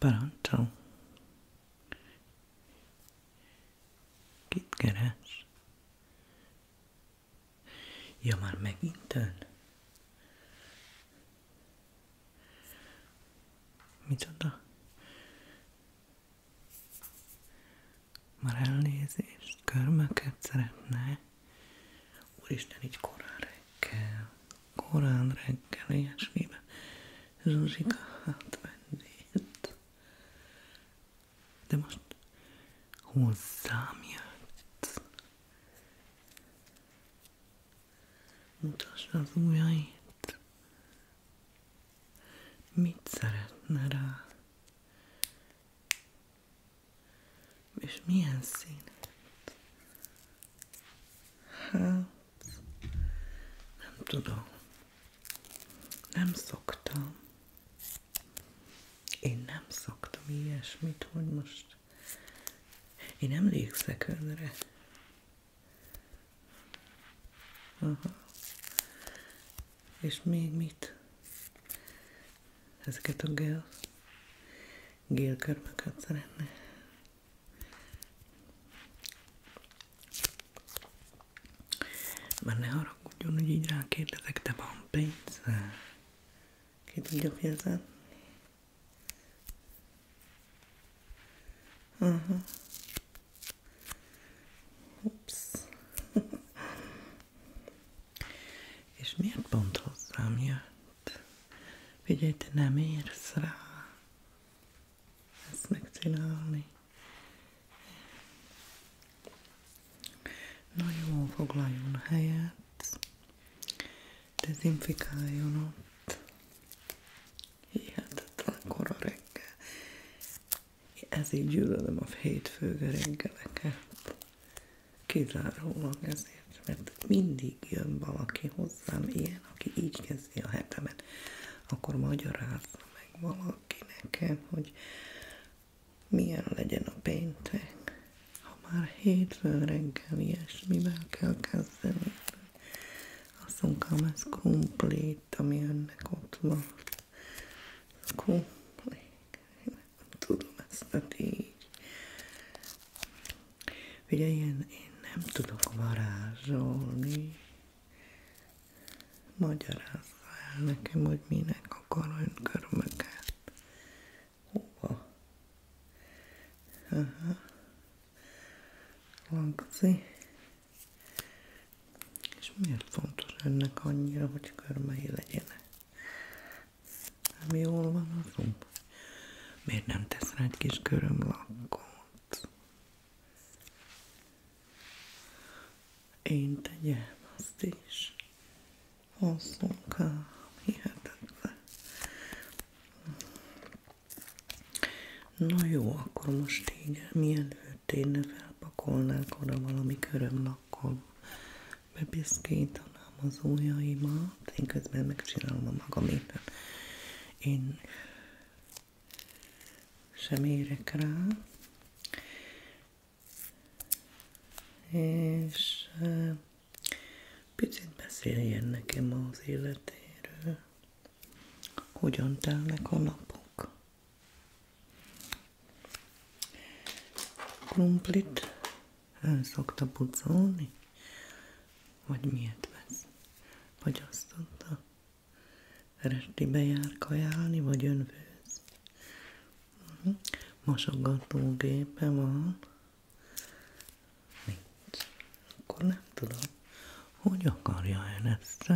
Parancsol. Kit keres? Ja, már megint ön? Micsoda? Már elnézést, körmöket szeretne. Úristen, így korán reggel, korán reggel, ilyesmiben Zsuzsika átvennét. De most hozzám jött. Mutasd az ujjait. Mit szeretne rá? És milyen szín? Hát, nem tudom. Nem szoktam. Én nem szoktam ilyesmit, hogy most én emlékszek önre. Aha. És még mit? Ezeket a gel gélkörmöket szeretne. Már ne haragudjon, hogy így rákérdezek, de van pénz? Ki tudja fizetni? Aha. Ups. És miért pont hozzám jött? Figyelj, te nem érsz rá ezt megcsinálni. Na jó, foglaljon helyet, dezinfikáljon ott. Hihetetlen kora reggel. Ezért gyűlölöm a hétfő reggeleket kizárólag ezért, mert mindig jön valaki hozzám ilyen, aki így kezdi a hetemet, akkor magyarázza meg valaki nekem, hogy milyen legyen a péntek, ha már hétfő reggel ilyesmivel kell kezdeni. Asszonykám, ez krumplit, ami önnek ott van. Krumplit tudom ezt mondani így. Ugye ilyen, én nem tudok varázsolni. Magyarázza el nekem, hogy minek akar önkormöket. Hova? Aha. Lagzi. És miért fontos ennek annyira, hogy körmei legyenek? Ami hol van a gomb? Miért nem tesz rá egy kis körömlakkot? Én tegyem azt is. Hosszúkám, hihetetlen. Na jó, akkor most így, mielőtt én felpakolnák oda valami körömlakkot, bepiszkítanám az ujjaimat, én közben megcsinálom a magamét. Én sem érek rá, és picit beszéljen nekem az életéről, hogyan telnek a napok. Krumplit el szokta pucolni? Vagy miért vesz? Vagy azt mondta? Restibe jár kajálni, vagy önfőz? Uh-huh. Mhm. Mosogatógépe van? Nincs. Akkor nem tudom, hogy akarja én ezt.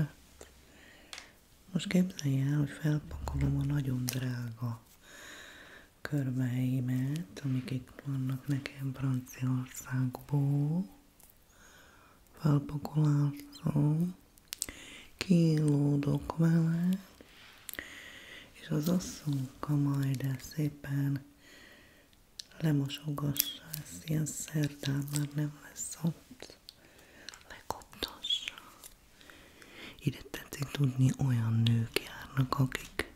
Most képzelj el, hogy felpakolom a nagyon drága körbeimet, amik itt vannak nekem Franciaországból. Felpakolázom, kilódok vele, és az asszonka majd el szépen lemosogassa ezt, ilyen szerdán már nem lesz ott, lekoptassa. Ide tetszik tudni, olyan nők járnak, akik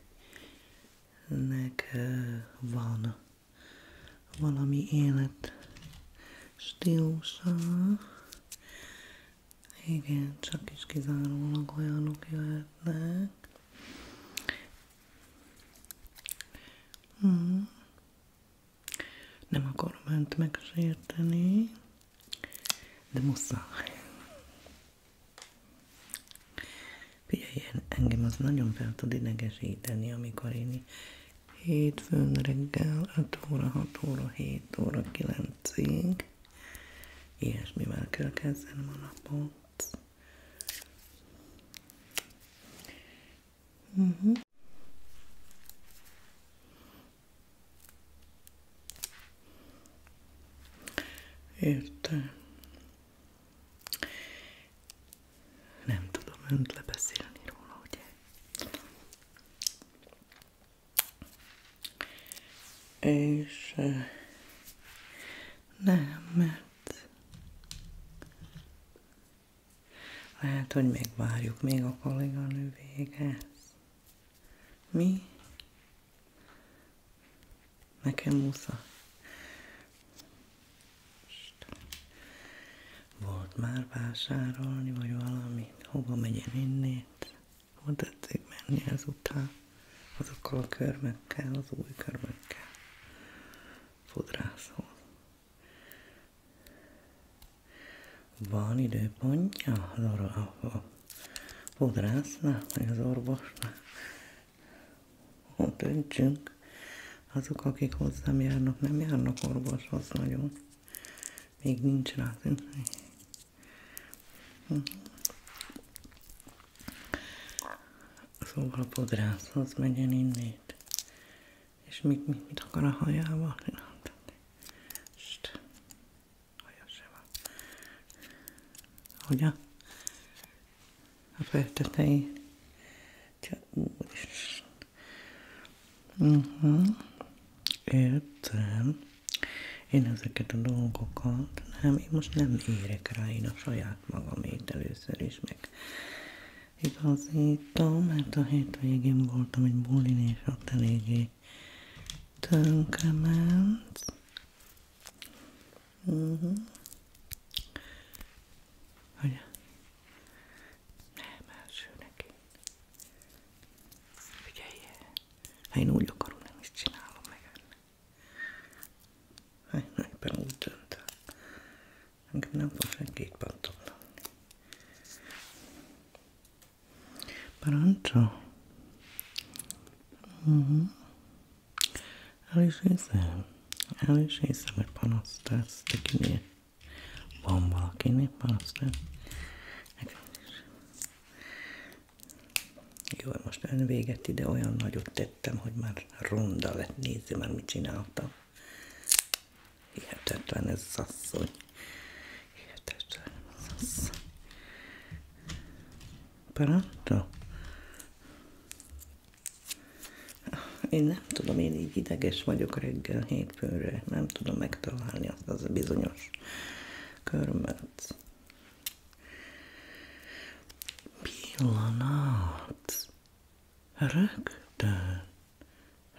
nek van valami élet stílusa. Igen, csak is kizárólag olyanok jöhetnek. Hmm. Nem akarom önt megsérteni, de muszáj. Figyelj, engem az nagyon fel tud idegesíteni, amikor én hétfőn reggel 5 óra, 6 óra, 7 óra, 9-ig ilyesmivel kell kezdenem a napot. Uh mhm. -huh. Értem. Nem tudom önt lebeszélni róla, ugye? És nem, mert lehet, hogy még várjuk még a kolléganő végez. Mi? Nekem muszáj. Volt már vásárolni, vagy valami? Hova megyen innét? Hova tetszik menni ezután? Azokkal a körmekkel, az új körmekkel. Fodrászhoz. Van időpontja, Lora, ahol fodrásznál, meg az orvosnál. Döntsünk. Azok, akik hozzám járnak, nem járnak orvoshoz nagyon. Még nincs rá Szóval a podrászhoz megyen innét. És mit, mit, mit akar a hajával? haja se a, a feltetei. Úristen. Uh-huh. Értem. Én ezeket a dolgokat, nem, én most nem érek rá, én a saját magamét először is meg igazítom, mert a hétvégén voltam egy bulin, és ott eléggé tönkrement. Uhum. Olha, nem első neki. Figyelj el. Ha én úgy akarom, nem is csinálom meg ennek. Ha hát, én éppen úgy döntök. Engem nem fog senkit pattogni. Parancsa. Uh mhm. -huh. El is hiszem. El is hiszem, hogy panaszt tesz, de kinél? Van valakinél panaszt tesz? Jó, most ön véget ide olyan nagyot tettem, hogy már ronda lett, nézi már mit csináltam. Hihetetlen ez az asszony. Hihetetlen ez az asszony. Pronto. Én nem tudom, én így ideges vagyok reggel hétfőre, nem tudom megtalálni azt az a bizonyos körmet. Pillanat. Rögtön.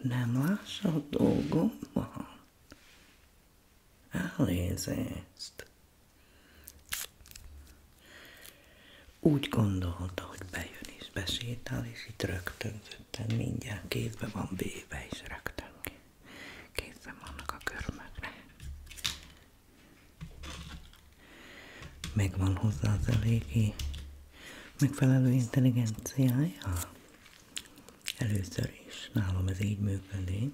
Nem lássa a dolgomban. Elnézést. Úgy gondolta, hogy bejön és besétál, és itt rögtönzötten mindjárt kézbe van véve, és rögtön kézben vannak a körmökre. Megvan hozzá az eléggé megfelelő intelligenciája? Először is nálam ez így működik.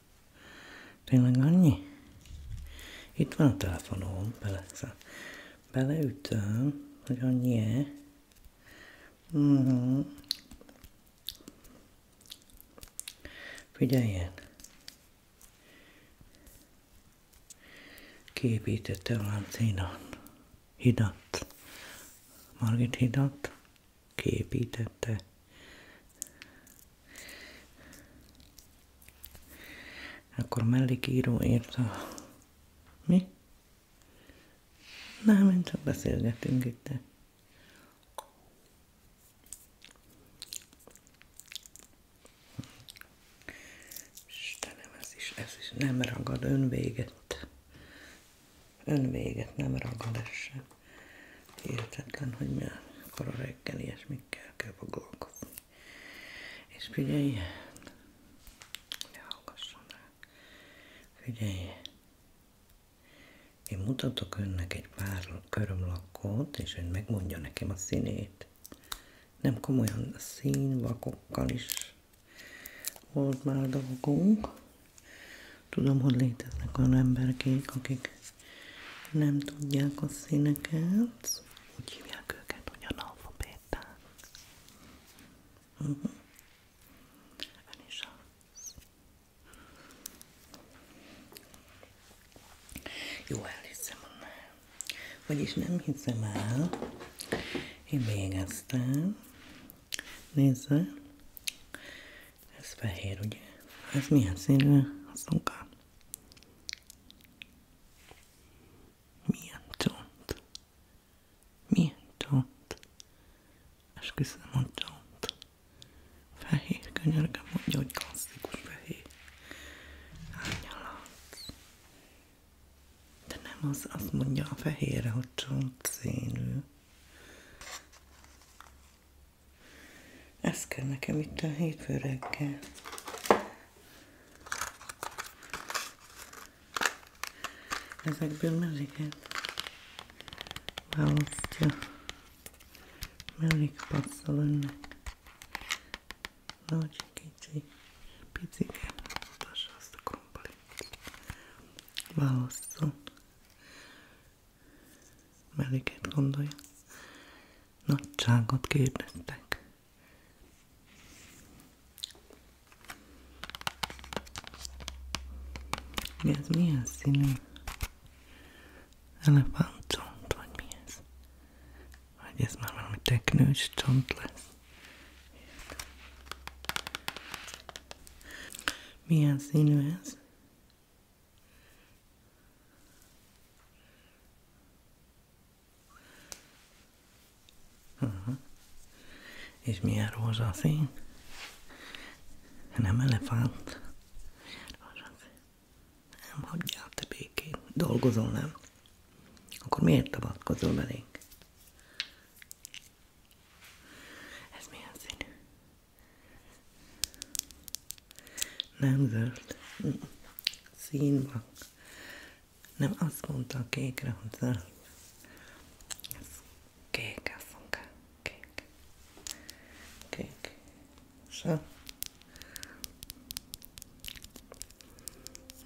Tényleg annyi? Itt van a telefonom, bele, beleütöm, hogy annyi-e. Mm-hmm. Figyeljen! Kiépítette a Lánchídat. Hidat. Margit hidat kiépítette. Akkor mellékíró írta. Mi? Nem, én csak beszélgetünk itt. Istenem, ez is, ez is nem ragad önvéget. Önvéget nem ragad ez sem. Hihetetlen, hogy mi akkor a reggel ilyesmikkel kell foglalkozni. És figyelj, ne hallgasson rá. Figyelj, én mutatok önnek egy pár körömlakot, és ön megmondja nekem a színét. Nem komolyan színvakokkal is volt már dolgunk. Tudom, hogy léteznek olyan emberek, akik nem tudják a színeket, úgy hívják őket, hogy analfabéták. Uh mhm. -huh. Ön is Jó, elhiszem annál. Vagyis nem hiszem el. Én végeztem. Nézze. Ez fehér, ugye? Ez milyen színű a szunka? Milyen csont? Milyen csont? Esküszöm, hogy csont. Fehér, könyörgöm, mondja, hogy klasszikus fehér. Árnyalat. De nem az, azt mondja a fehérre, hogy csont színű. Ez kell nekem itt a hétfő reggel. Ezekből melyiket választja. Melyik passzol önnek. Nagy, kicsi, picike. Mutassa azt a komplit. Válasszon. Melyiket gondolja? Nagyságot kérdeztek. Mi ez milyen színű? Elefántcsont, vagy mi ez? Vagy ez már valami teknős csont lesz? Milyen színű ez? huh És milyen rózsaszín? Nem elefánt. Rózsaszín. Nem hagyjál te békén. Dolgozol, nem? Akkor miért tavatkozol belénk? Ez milyen színű? Nem zöld. Színban. Nem azt mondta a kékre, hogy zöld. Ez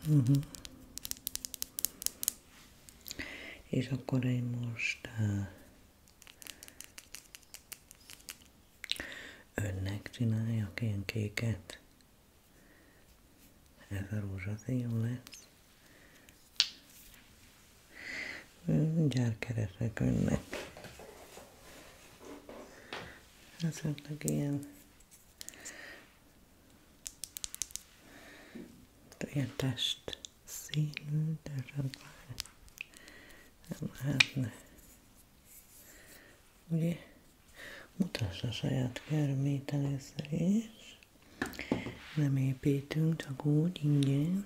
Uh-huh. És akkor én most uh, Önnek csináljak ilyen kéket. Ez a rózsaszín lesz. Mindjárt keresek önnek. Ez önnek ilyen ilyen test színű, de csak már nem lehetne. Ugye? Mutasd a saját körmét először is. Nem építünk, csak úgy, ingyen.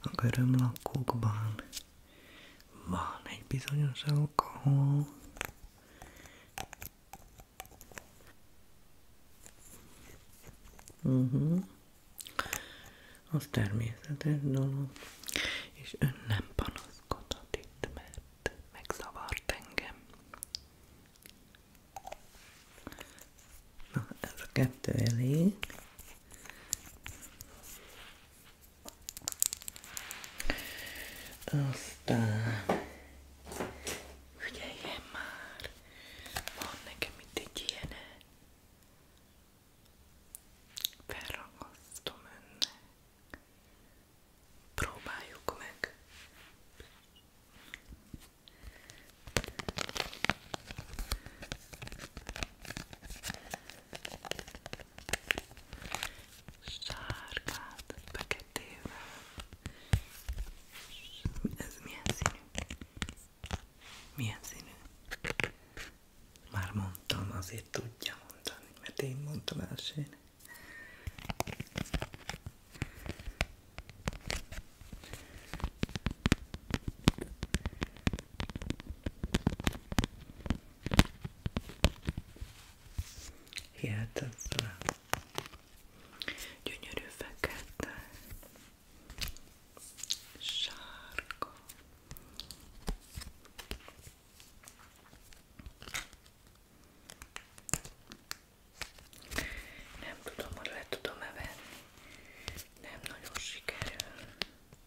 a körömlakokban van egy bizonyos alkohol, uh-huh. az természetes dolog, és ön nem panaszkodhat itt, mert megzavart engem. Na, ez a kettő elég. Aztán figyeljen már, van nekem itt egy ilyene. Eh, felragasztom önnek. Próbáljuk meg. Sárgát feketével. Ez milyen színű? Milyen színű? Már mondtam, azért tudja mondani, mert én mondtam elsőnek. Hihetetlen. Gyönyörű fekete. Sárga. Nem tudom, hogy le tudom-e venni. Nem nagyon sikerül.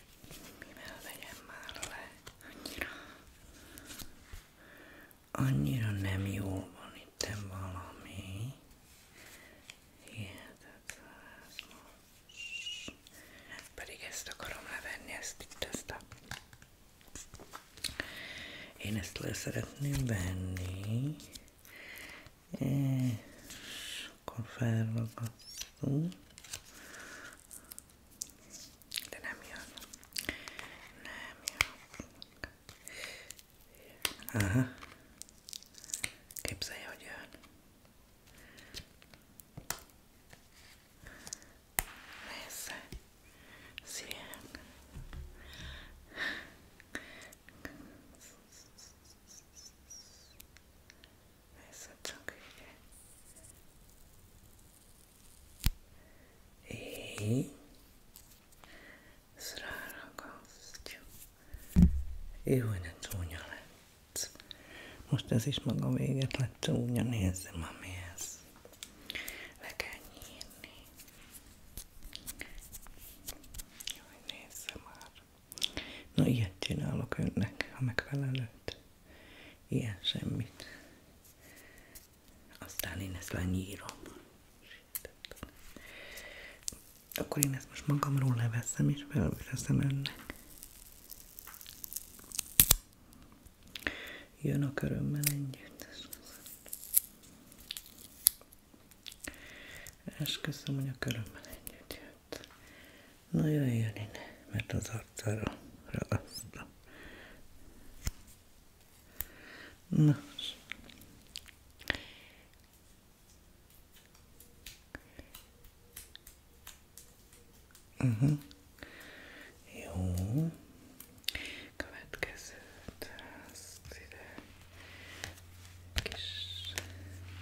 mivel vegyem már le, annyira, nem jó van itt valami, hihetetlen ez most, pedig ezt itt, ezt Én ezt le szeretném venni, és akkor felragasztunk, nem jön, nem jön. Aha, képzelj, hogy jön. Nézze, szívem. Nézzed csak így. Így. Ezt ráragasztjuk. Most ez is maga véget lett csúnya. Nézzem, ami ez. Le kell nyírni. Jaj, nézze már. Na, ilyet csinálok önnek, ha megfelelőt ilyen semmit. Aztán én ezt lenyírom. Akkor én ezt most magamról leveszem, és felveszem önnek. Jön a körömmel együtt. Esküszöm, hogy a körömmel együtt jött. Nagyon jön innen, mert az arcára ragasztom. Nos. uh mhm. Jó.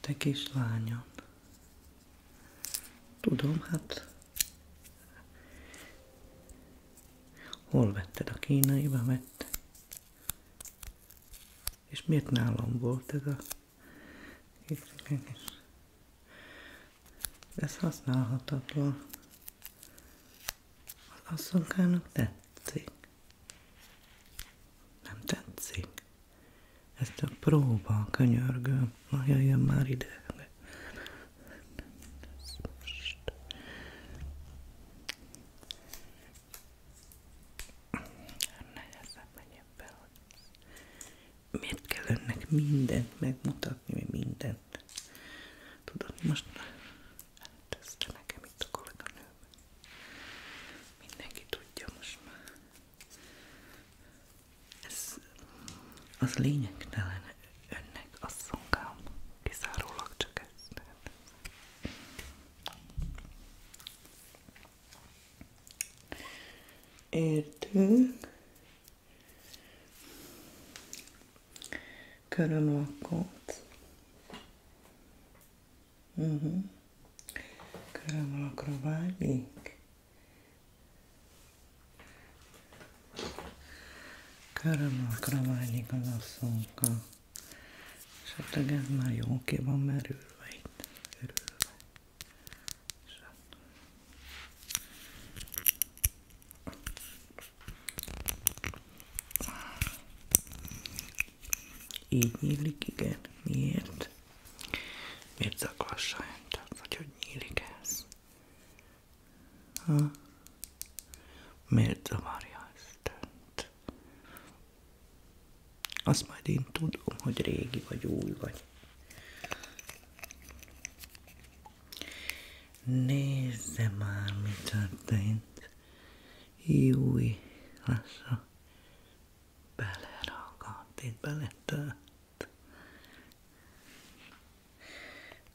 Te kislányom. Tudom, hát hol vetted a kínaiba, vette. És miért nálam volt ez a ez használhatatlan. Az asszonkának tetszik. Nem tetszik. Ez csak próba, könyörgöm. Na, jöjjön már ide miért kell önnek mindent megmutatni, mi mindent? Tudod, most elteszte nekem itt a kolléganőben. Mindenki tudja most már. Ez az lényegtelen önnek a szolgám. Kizárólag csak ez. Értünk körömlakkot. Uh-huh. Mhm. Körömlakra vágyik. Körömlakra vágyik az asszonka. Esetleg ez már jó ki van merülve itt. Örülve. Esetleg. Így nyílik, igen. Miért? Miért zaklassa öntök? Vagy hogy nyílik ez? Ha? Miért zavarja ezt önt? Azt majd én tudom, hogy régi vagy új vagy. Nézze már, mi történt. Júj, lassan. Beleragadt, itt beletört.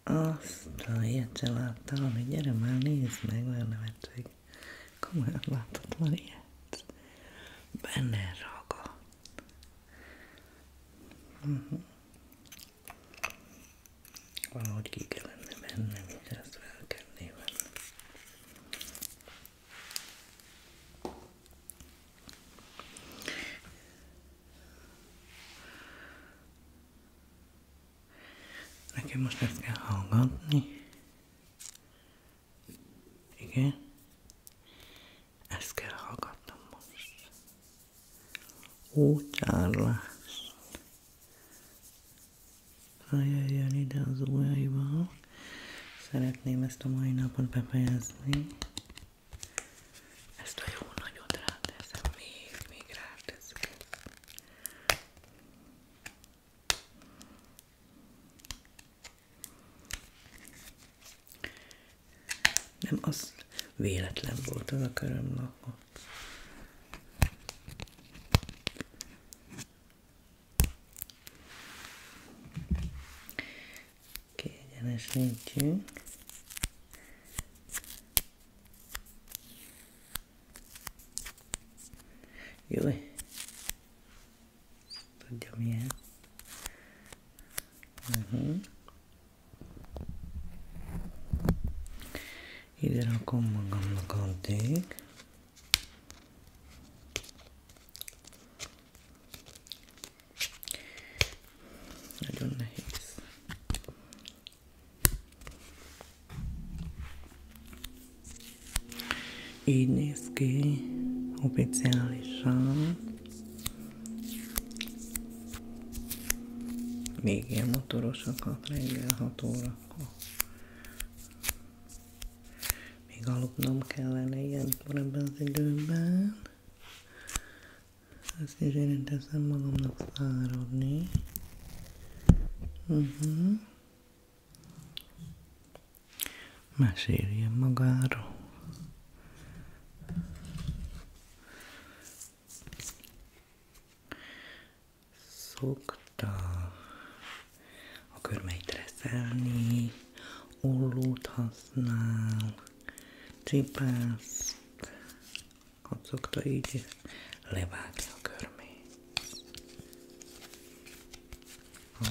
Azt a ilyet se láttam, ami gyere már, nézd meg, olyan nevetség. Komolyan láthatatlan ilyet. Benne ragadt. Uh mhm. -huh. Valahogy ki kellene mennem, és ezt kell ennem. Nekem most ezt kell hallgatni. Igen. Ezt kell hallgatnom utálás. Ha az ujjaival, szeretném ezt a mai napot befejezni. Ezt a jó nagyot ráteszem, még, még ráteszek. Nem, az véletlen volt az a körömlakó. Kiegyenesítjünk. Jó. Tudja milyen. Uh mhm. -huh. Ide rakom magamnak addig. Nagyon nehéz. Így néz ki oficiálisan. Még ilyen motorosakat reggel 6 órakor. Még aludnom kellene ilyenkor ebben az időben. Ezt is én teszem magamnak száradni. Uh-huh. Mhm. Meséljen magáról. Szokta a körmeit reszelni, ollót használ, csipászt, ha szokta így levágni a körmét. Ha?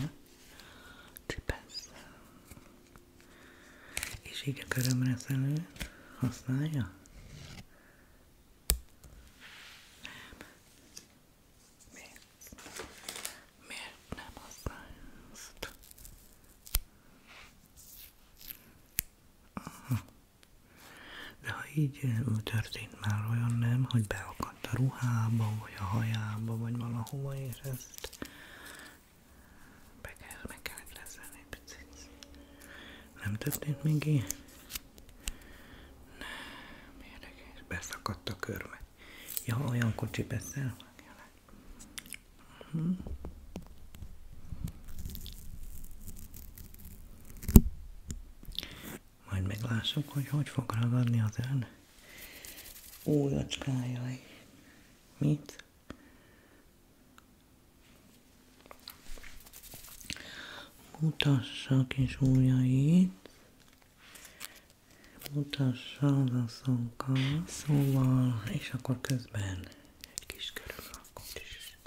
És így a körömreszelő használja? Nem. Miért? Miért nem használja azt? De ha így eh, történt már olyan nem, hogy beakadt a ruhába, vagy a hajába, vagy valahova, és ezt be kell, meg kell lezelni picit. Nem történt még ilyen? Nem, érdekes. Beszakadt a körme. Ja, olyan kocsi beszél? Mhm. Majd meglássuk, hogy hogy fog ragadni az ön újacskájai. Mit? Mutassa kis ujjait, mutassa az asszonkkal, szóval, és akkor közben egy kis körömlakot is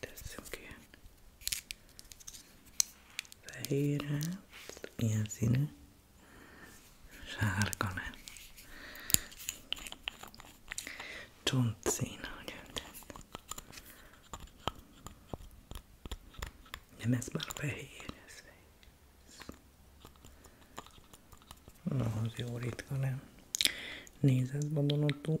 teszünk ilyen fehéret, ilyen színű, sárga nem. Csontszín, hogy öntett. Nem, ez már fehér, ez fehér. Na, az jó ritka, nem? Nézd, ez vadonatú.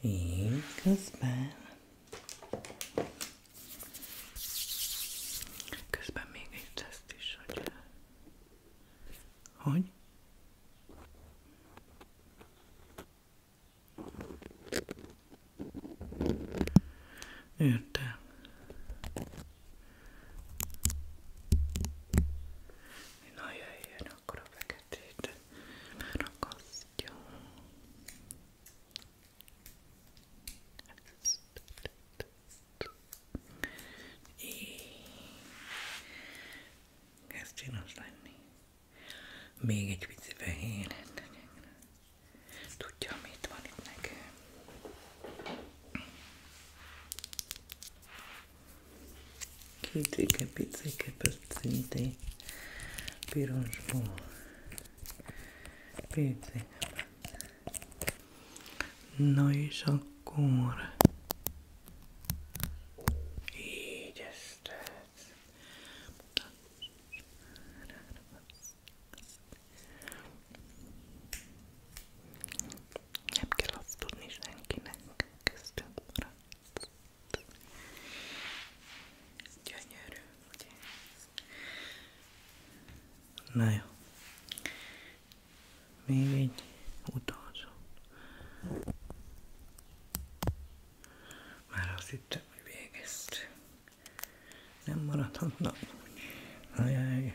Így közben. Közben még ezt is, hogy... Eh, hogy? Értem. Na jöjjön akkor a feketét megakasztja. Ez csinos lenni. Még egy pici fehéren Tudja, mit van itt nekem kicsike, picike, pöccinte, piros bó, picike. Na és akkor... Nem kell azt senkinek, kezdtünk Gyönyörű, ugye ez? Na jó. Még egy utolsó. Már az itt hogy végeztünk. Nem maradhatnak úgy. Ajaj.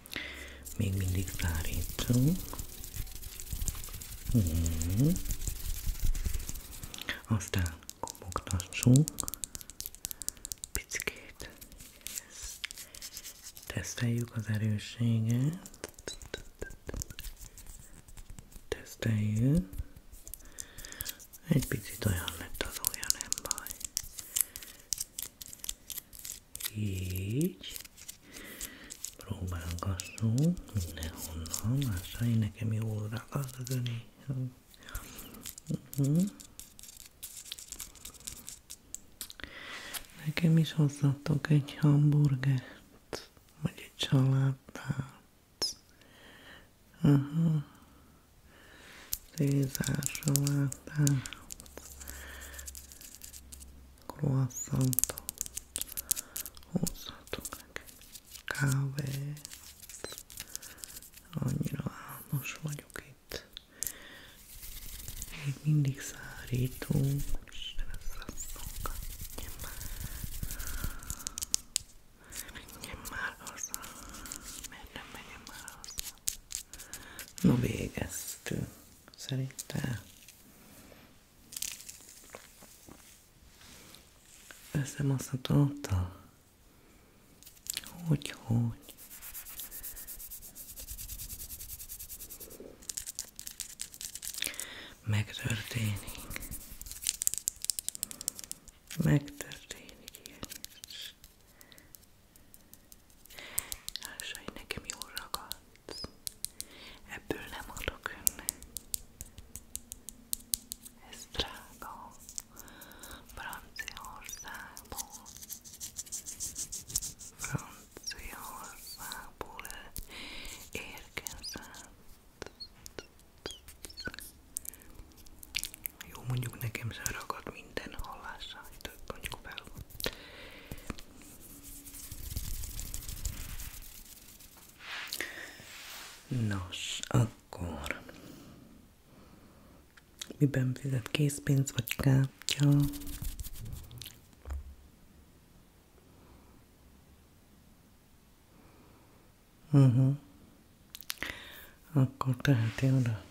Még mindig szárítunk. Hmm. Aztán kopogtassunk. picit Teszteljük az erősséget. Teszteljük. Egy picit olyan lett az olyan, nem baj így próbálgassunk mindenhonnan, másai nekem jól ragad a göni. Mhm. Nekem is hozzatok egy hamburgert, vagy egy salátát. Aha. Uh croissant hozhatunk kávét. Annyira álmos vagyok itt. Még mindig szárító. Isten, ez a szonka. Menjen már haza. Miért nem menjen már haza? Na végeztünk szerintem összemaszható ottal? Hogy, hogy? Megtörténik. Megtörténik ilyen Lássai, nekem jól ragadsz. Ebből nem adok önnek. Ez drága. Franciaországból. Franciaországból érkezett. Jó, mondjuk nekem se ragad minden hallással, mondjuk fel. Nos, akkor miben fizet készpénz vagy kártya? Uh mhm. -huh. Akkor teheti oda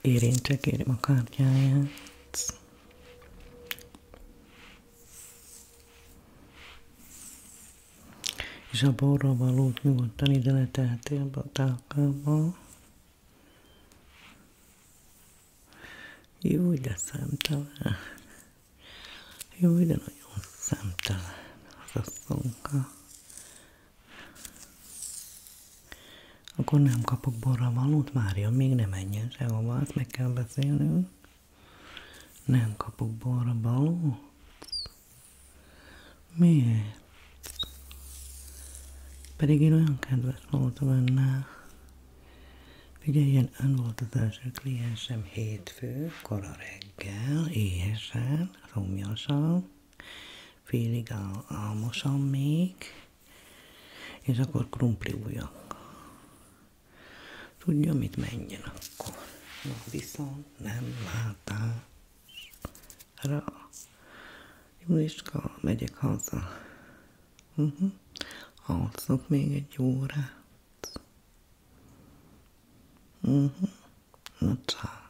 Érintse kérem a kártyáját. És a borra valót nyugodtan ide leteheti a tálkába. Jó, de szemtelen. Jó, de nagyon szemtelen az a szonka. Akkor nem kapok borra valót, Mária, még nem menjen sehova, azt meg kell beszélnünk. Nem kapok borra valót? Miért? Pedig én olyan kedves voltam önnel. ilyen ön volt az első kliensem hétfő, kora reggel, éhesen, szomjasan, félig álmosan még, és akkor krumpli ujjak. Tudja, mit menjen akkor. Na, viszont nem látásra. Juliska, megyek haza. Uh-huh. Alszok még egy órát. Uh-huh. Na, csak